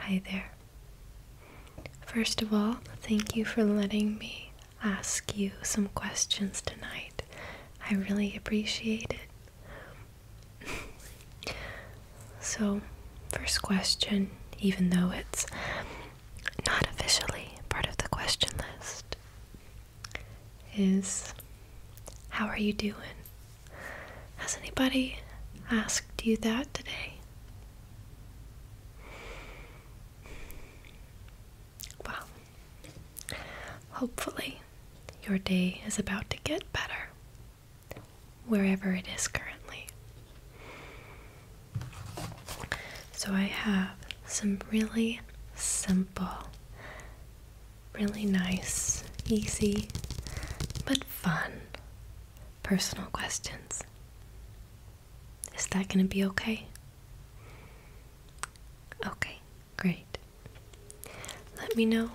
Hi there. First of all, thank you for letting me ask you some questions tonight. I really appreciate it. so, first question, even though it's not officially part of the question list, is how are you doing? Has anybody asked you that today? Well, hopefully, your day is about to get better, wherever it is currently. So, I have some really simple, really nice, easy, but fun personal questions. Is that going to be okay? Okay, great. Let me know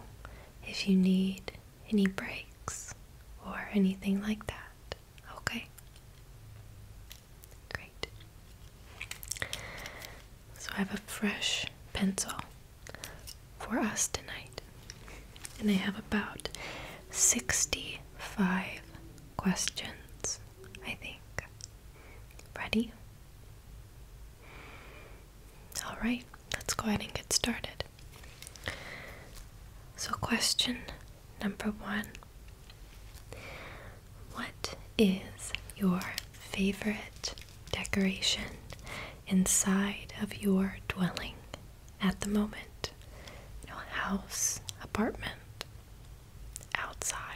if you need any breaks or anything like that. Okay? Great. So I have a fresh pencil for us tonight. And I have about 65 questions, I think. Ready? Alright, let's go ahead and get started. So, question number one What is your favorite decoration inside of your dwelling? at the moment. You house, apartment, outside.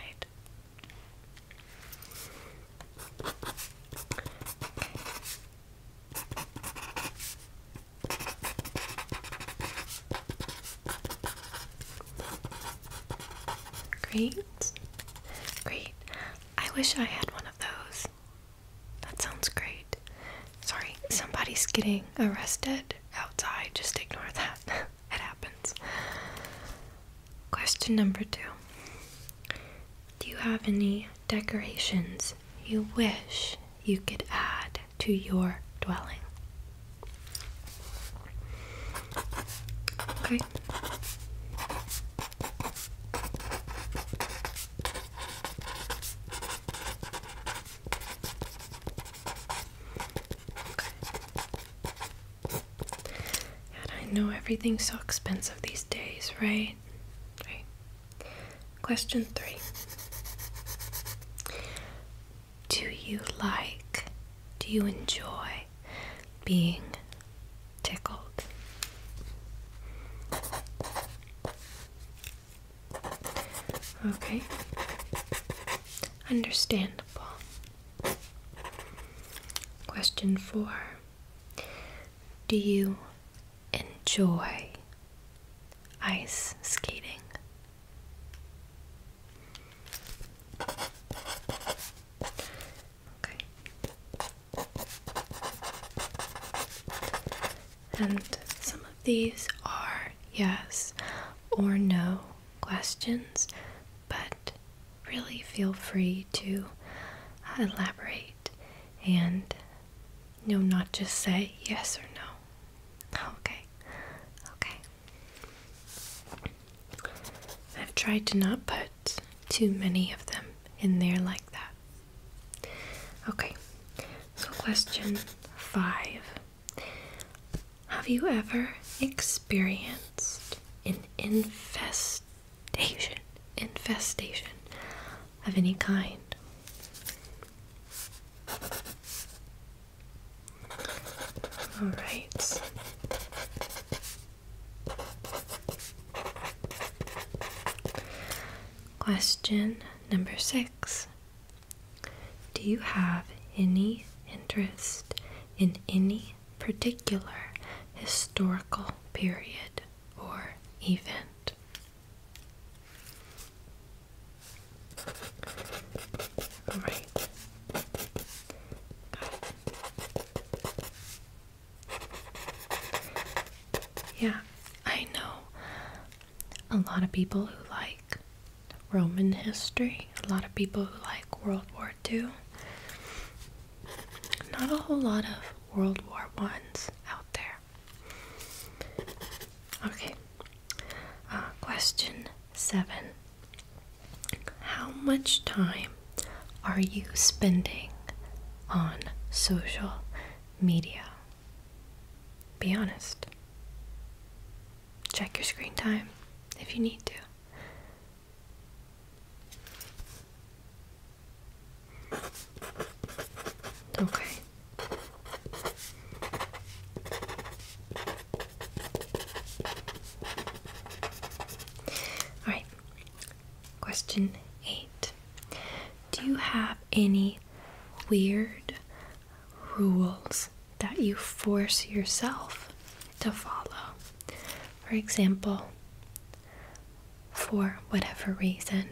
Great. Great. I wish I had one of those. That sounds great. Sorry, somebody's getting arrested outside. Just ignore that. it happens. Question number two Do you have any decorations you wish you could add to your dwelling? Okay. I know everything's so expensive these days, right? Right. Question three. Do you like, do you enjoy being tickled? Okay. Understandable. Question four Do you enjoy ice skating? Okay. And some of these are yes or no questions, but really feel free to elaborate and no, not just say yes or no. Oh, okay, okay. I've tried to not put too many of them in there like that. Okay, so question five Have you ever experienced an infestation? Infestation of any kind? All right. Question number six Do you have any interest in any particular historical period or event? All right. Yeah, I know a lot of people who like Roman history, a lot of people who like World War II. Not a whole lot of World War Ones out there. Okay, uh, question seven. How much time are you spending on social media? Be honest. Check your screen time if you need to. Okay. Alright, Question 8 Do you have any weird rules that you force yourself to follow? For example, for whatever reason,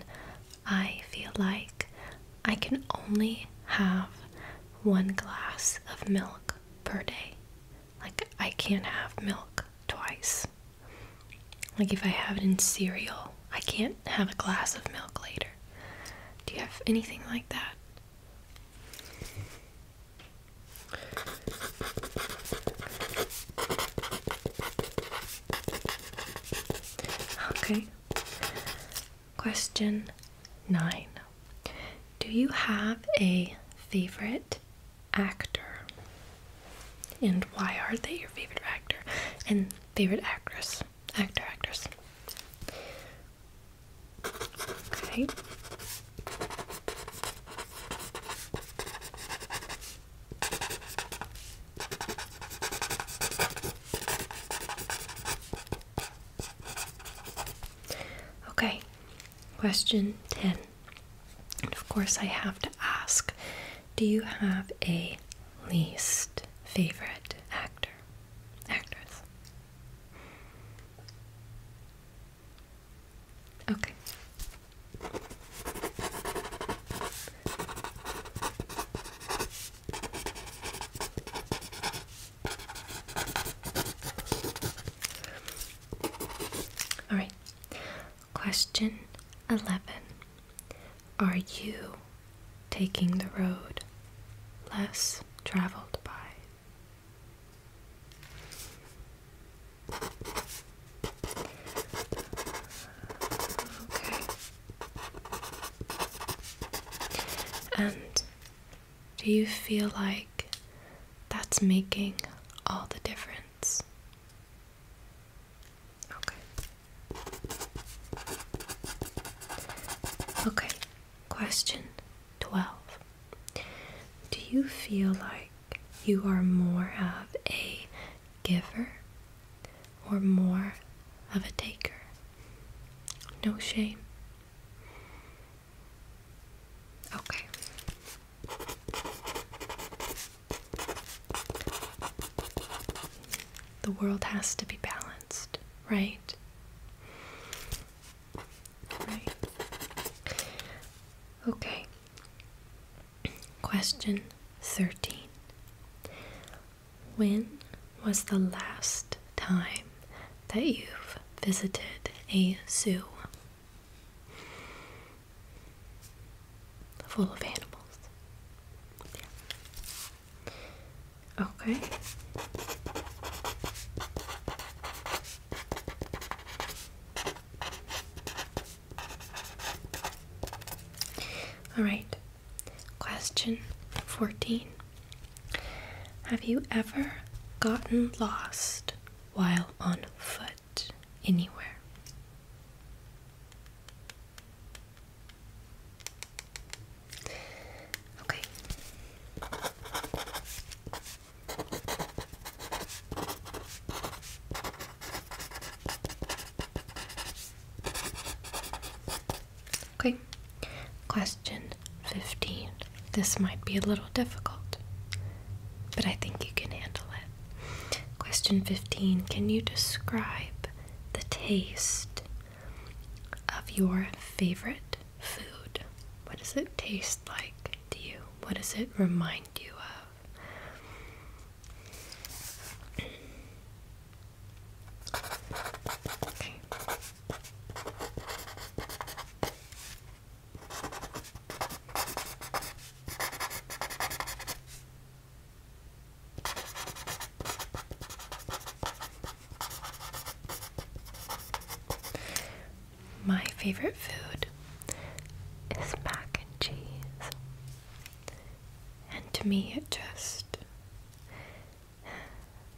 I feel like I can only have one glass of milk per day. Like, I can't have milk twice. Like if I have it in cereal, I can't have a glass of milk later. Do you have anything like that? Okay. Question 9. Do you have a favorite actor? And why are they your favorite actor? And favorite actress, actor, actress. Okay. Okay, question 10. of course, I have to ask do you have a least favorite actor, actress. Okay. All right. Question 11 Are you taking the road less traveled by? And do you feel like that's making all the difference? Okay. Okay. Question 12. Do you feel like you are more of a giver or more of a taker? No shame. Okay. The world has to be balanced, right? Right. Okay. Question 13. When was the last time that you've visited a zoo? full of animals. Okay. All right. Question 14. Have you ever gotten lost while on foot anywhere? Okay. Okay. Question 15. This might be a little difficult, but I think you can handle it. Question 15 Can you describe the taste of your favorite food? What does it taste like to you? What does it remind you of? My favorite food is mac and cheese. And to me it just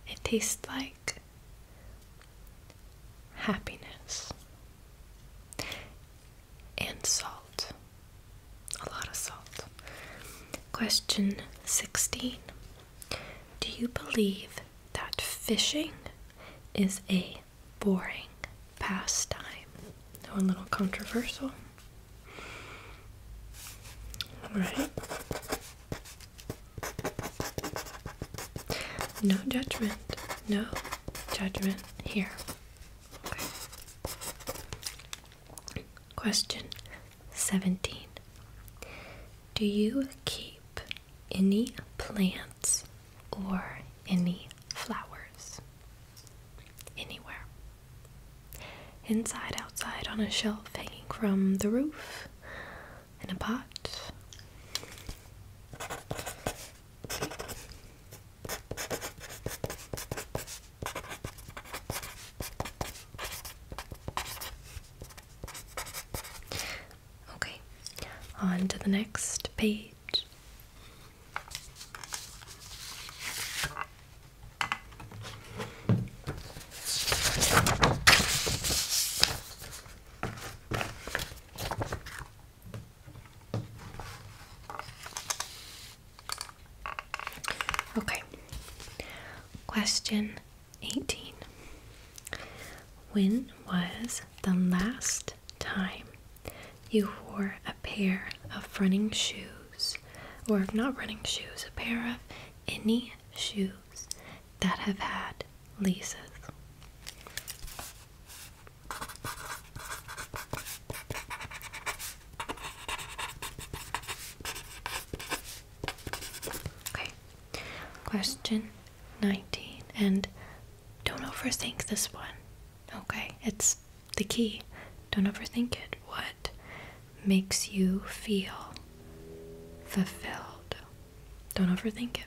it tastes like happiness and salt. A lot of salt. Question 16 Do you believe that fishing is a boring pastime? Now, a little controversial. Alright. No judgment. No judgment here. Question 17. Do you keep any plants or any flowers anywhere? Inside, outside, on a shelf, hanging from the roof, in a pot? Okay, on to the next page. Okay. Question 18. When was the last time you wore a pair of running shoes, or not running shoes, a pair of any shoes that have had laces? Okay, question 19. And don't overthink this one, okay? It's the key. Don't overthink it. What makes you feel fulfilled? Don't overthink it.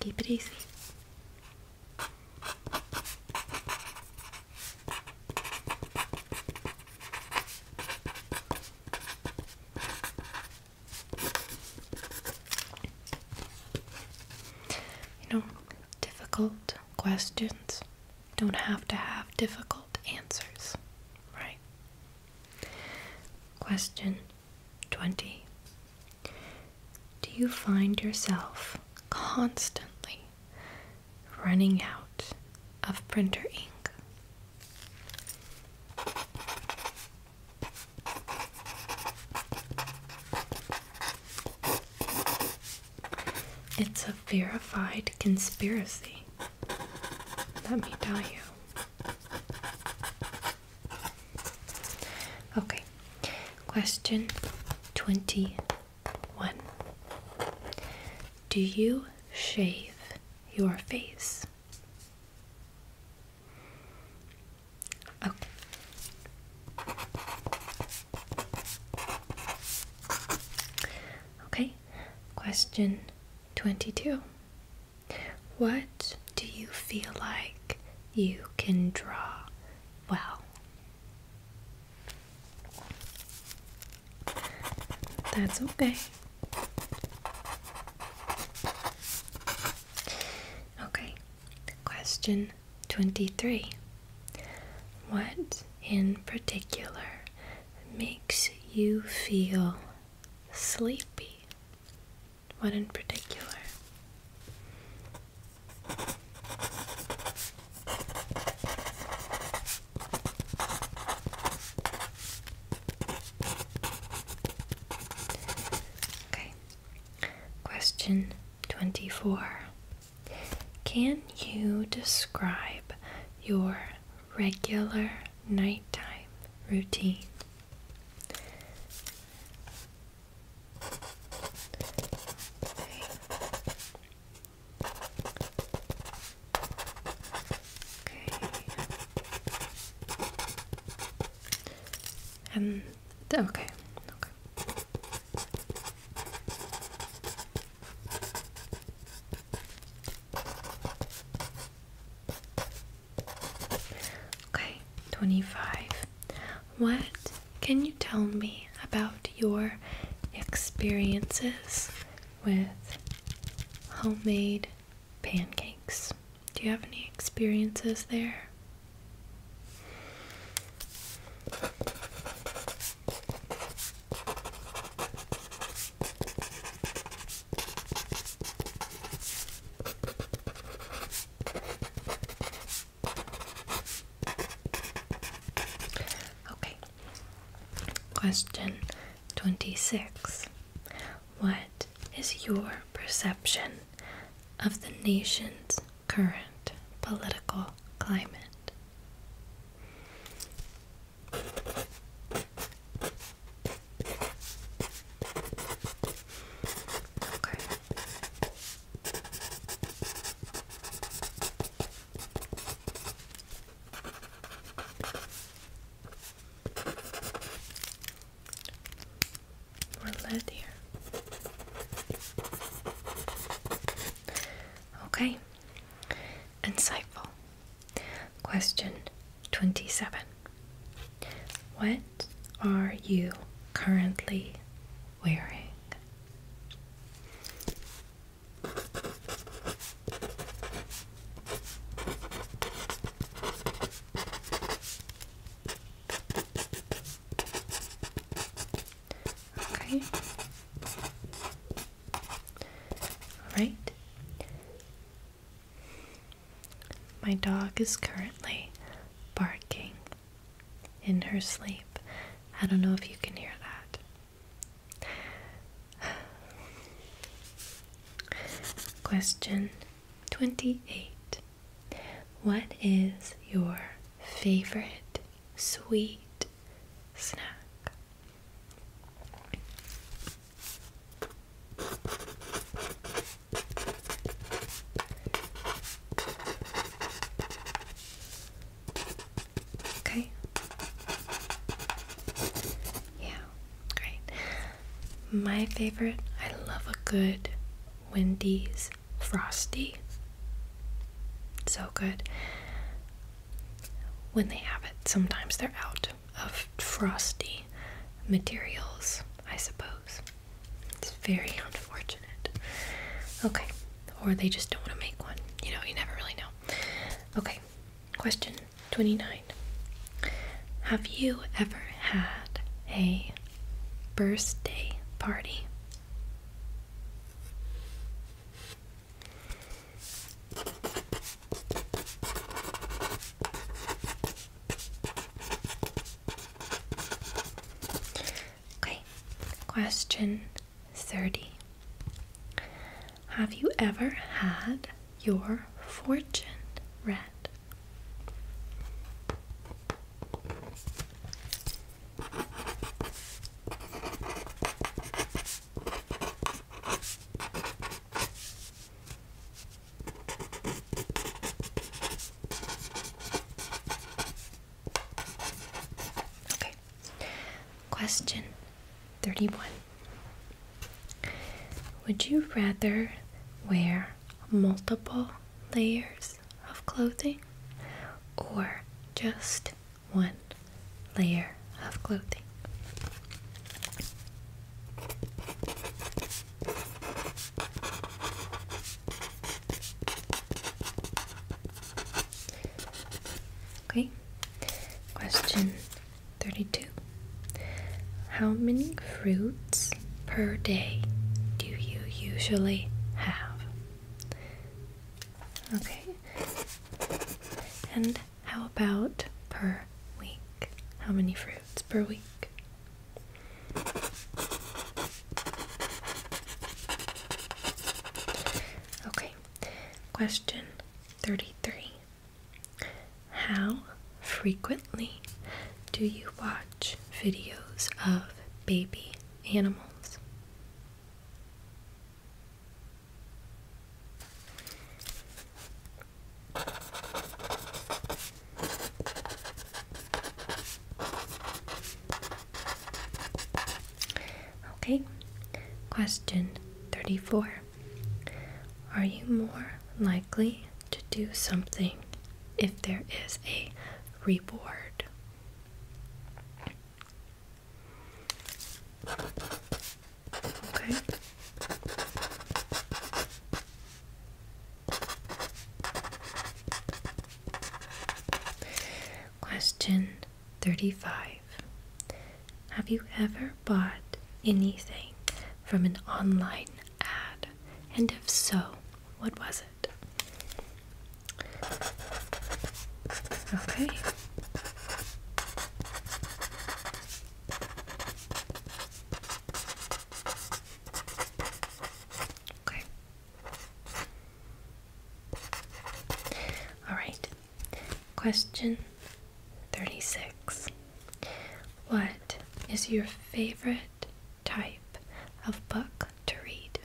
Keep it easy. You know, difficult questions don't have to have difficult answers, right? Question 20 do you find yourself constantly running out of printer ink? It's a verified conspiracy. Let me tell you. Okay, Question 21 Do you shave your face? Okay. question 22. What do you feel like you can draw Wow. That's okay. Okay, question 23. What in particular makes you feel sleepy? What in particular? Okay. Question 24. Can you describe your regular nighttime routine? Okay. Okay. Um, and okay. Okay. Okay, 25. What can you tell me about your experiences with homemade pancakes? Do you have any experiences there? Okay. Question 26. What is your perception of the nation's current political climate? Okay. More lead here. Okay. Insightful. Question 27. What are you currently wearing. Okay. All right. My dog is currently barking in her sleep. I don't know if you can hear that. Question 28 What is your favorite sweet snack? Okay. Yeah, great. My favorite, I love a good Wendy's Frosty. So good. When they have it, sometimes they're out of frosty materials, I suppose. It's very unfortunate. Okay. Or they just don't want to make one. You know, you never really know. Okay. Question 29. Have you ever had a birthday party? Okay, question 30. Have you ever had your fortune read? Okay. Question 31 Would you rather wear multiple layers of clothing or just one layer of clothing? Okay, question 32. How many fruits per day do you usually have? Okay, and how about per week? How many fruits per week? Okay, question 33 How frequently do you watch videos of baby animals? Okay, question 34 Are you more likely to do something if there is a reward? Okay. Question 35 Have you ever bought anything from an online ad? And if so, what was it? Okay. Okay. All right. Question 36. What is your favorite type of book to read?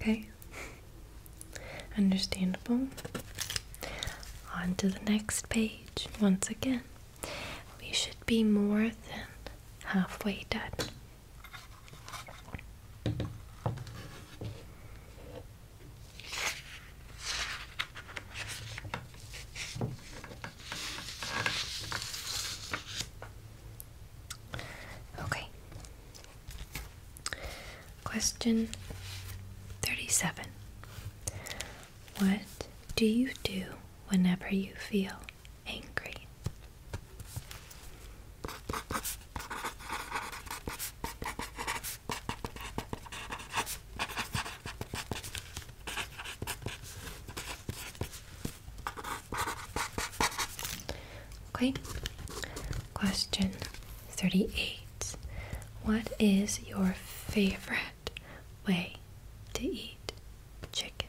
Okay. Understandable. On to the next page. Once again, we should be more than halfway done. Okay. Question 37. What do you do whenever you feel angry? Okay, question 38 What is your favorite way to eat chicken?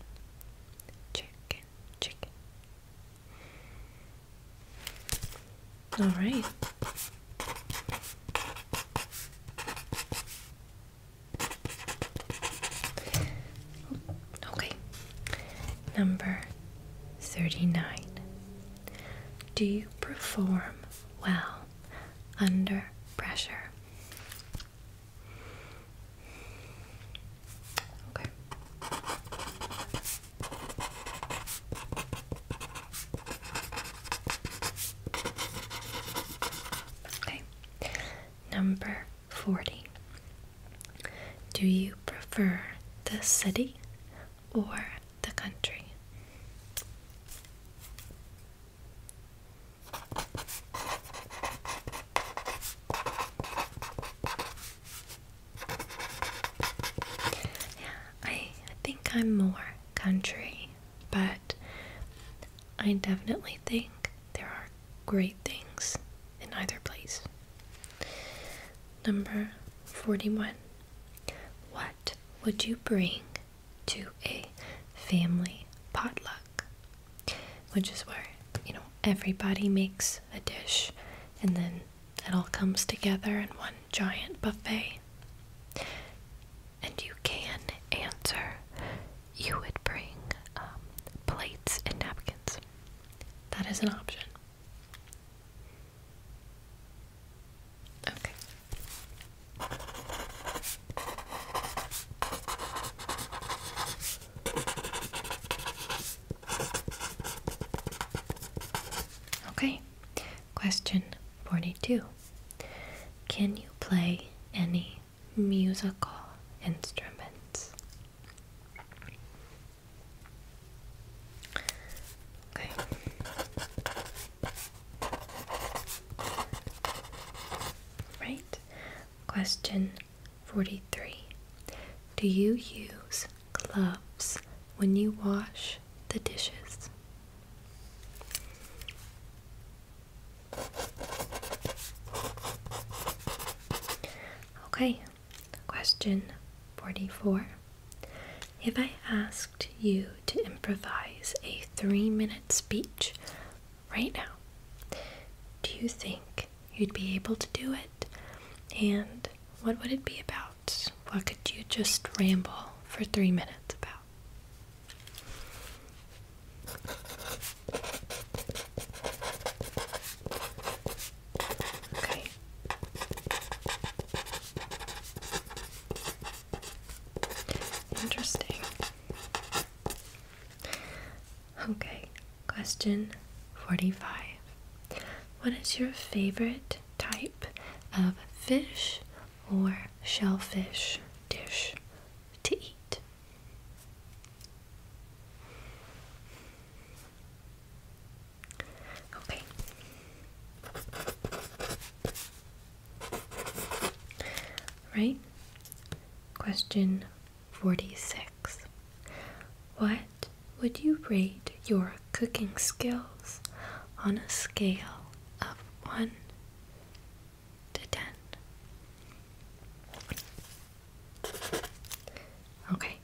Chicken, chicken. All right. Oh, okay. Number 39. Do you perform well under pressure? Okay. Okay. Number 40. Do you prefer the city or the country? Yeah, I think I'm more country, but I definitely think there are great things in either place. Number 41. What would you bring to a family potluck? Which is where, you know, everybody makes a dish and then it all comes together in one giant buffet. And you can answer you would bring um, plates and napkins. That is an option. Okay. Okay, question 42. Can you play any musical instruments. Okay. Right. Question 43. Do you use gloves when you wash the dishes? Okay, question 44. If I asked you to improvise a three minute speech right now, do you think you'd be able to do it? And what would it be about? What could you just ramble for three minutes about? Okay. Interesting. Okay, question 45. What is your favorite type of fish or shellfish dish to eat? Okay. Right? Question 46. What would you rate your cooking skills on a scale of 1 to 10. Okay.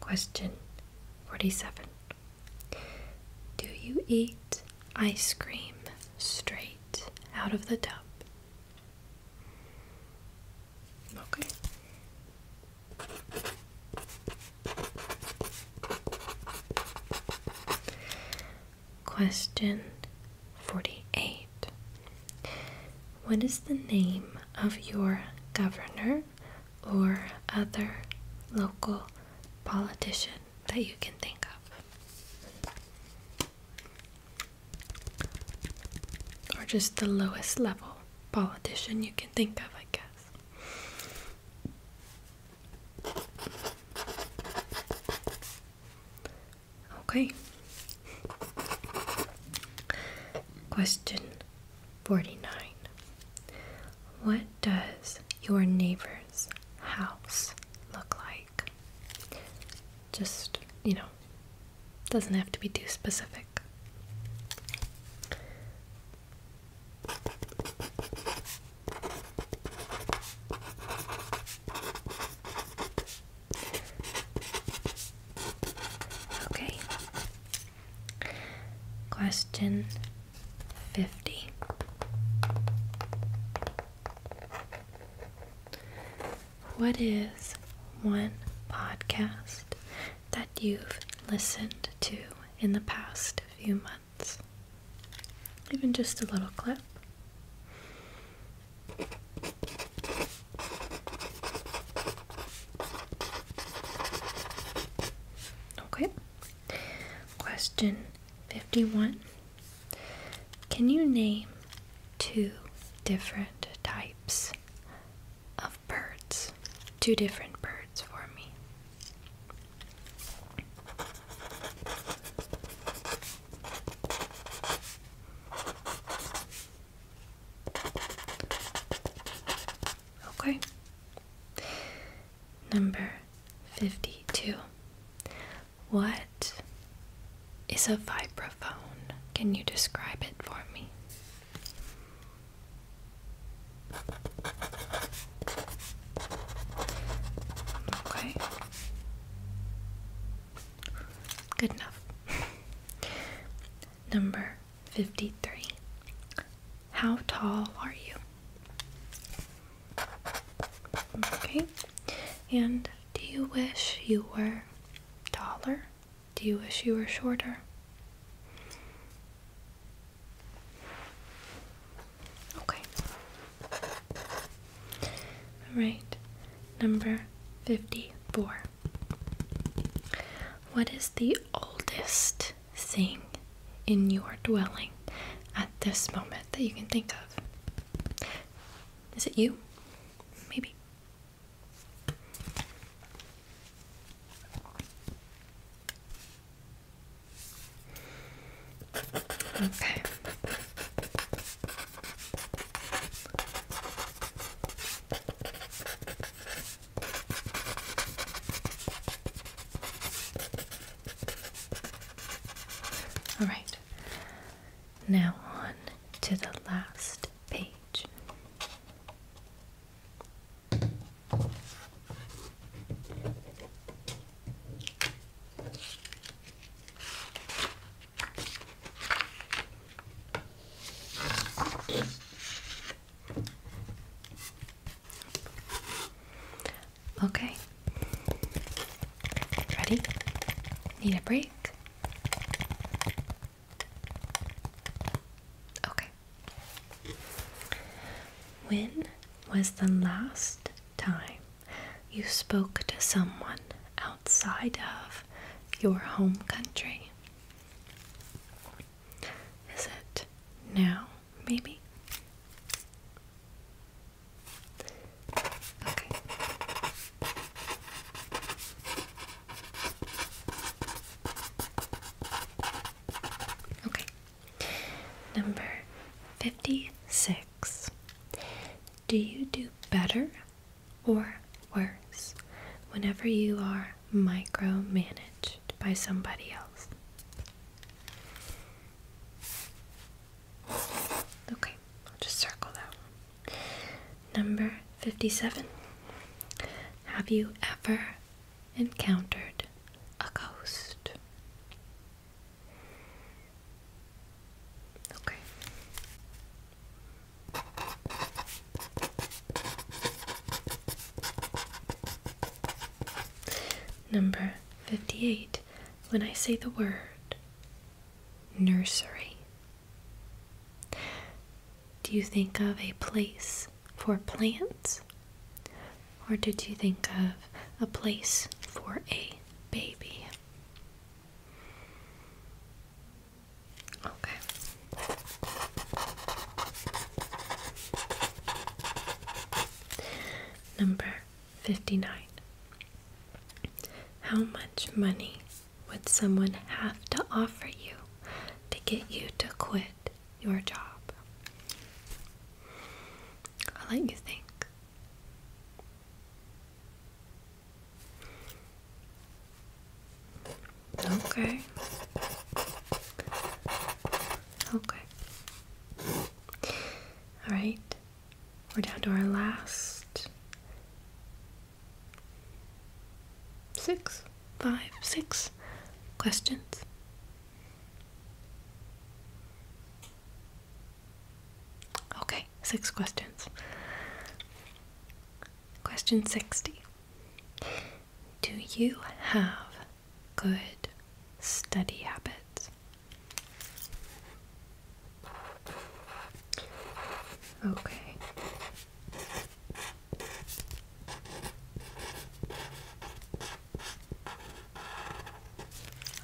Question 47. Do you eat ice cream straight out of the tub? Okay. Question 48 What is the name of your governor or other local politician that you can think of? Or just the lowest level politician you can think of, I guess. Okay. Question 49 What does your neighbor's house look like? Just, you know, doesn't have to be too specific. Okay. Question 50. What is one podcast that you've listened to in the past few months? Even just a little clip. Okay. Question 51. Can you name two different types of birds? Two different birds for me. Okay. Number 52. What is a vibraphone? Can you describe it for me? Okay. Good enough. Number 53. How tall are you? Okay. And do you wish you were taller? Do you wish you were shorter? Okay. Alright, number 54. What is the oldest thing in your dwelling at this moment that you can think of? Is it you? Maybe. Okay. All right. Now on to the last page. Okay. Ready? Need a break? Okay. When was the last time you spoke to someone outside of your home country. Is it now, maybe? Okay. Okay. Number 56. Do you do better or worse whenever you are micromanaged by somebody else? Okay, I'll just circle that one. Number 57. Have you ever encountered a ghost? Okay. Number 58. When I say the word nursery, do you think of a place for plants? Or did you think of a place for a baby? Okay. Number 59. How much money would someone have to offer you to get you to quit your job? I'll let you think. Okay. Okay. All right. We're down to our last six, five, six questions. Okay, six questions. Question 60 Do you have good study habits? Okay.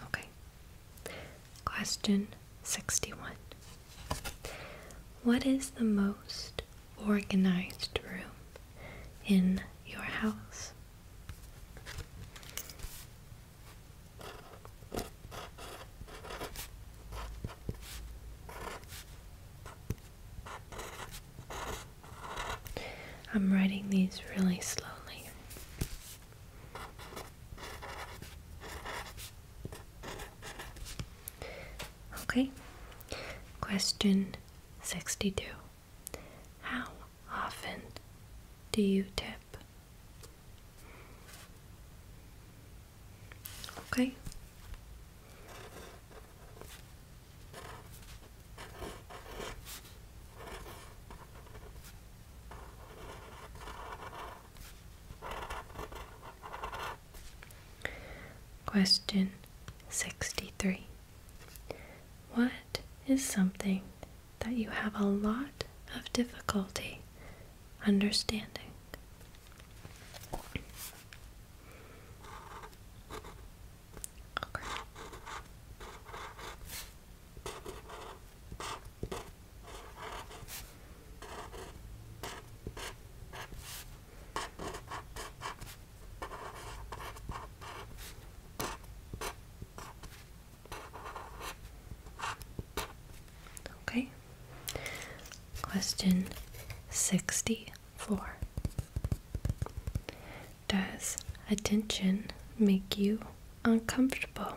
Okay, Question 61 What is the most organized room in your house? I'm writing these really slowly. Okay, question 62. How often do you tip? Okay. Question 63. What is something that you have a lot of difficulty understanding? Okay. Question 64 Does attention make you uncomfortable?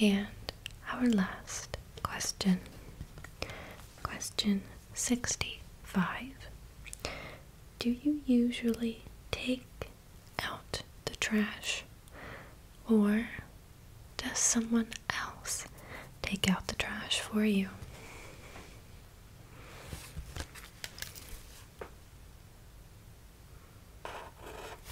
And our last question. Question 65. Do you usually take out the trash or does someone else take out the trash for you?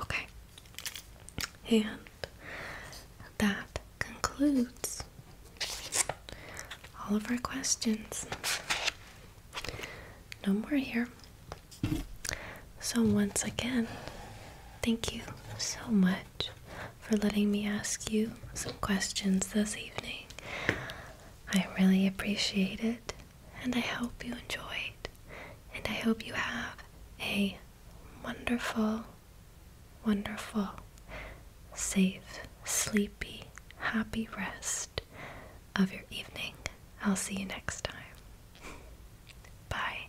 Okay. And that concludes all of our questions. No more here. So, once again, thank you so much for letting me ask you some questions this evening. I really appreciate it, and I hope you enjoyed, and I hope you have a wonderful, wonderful, safe, sleepy, happy rest of your evening. I'll see you next time. Bye.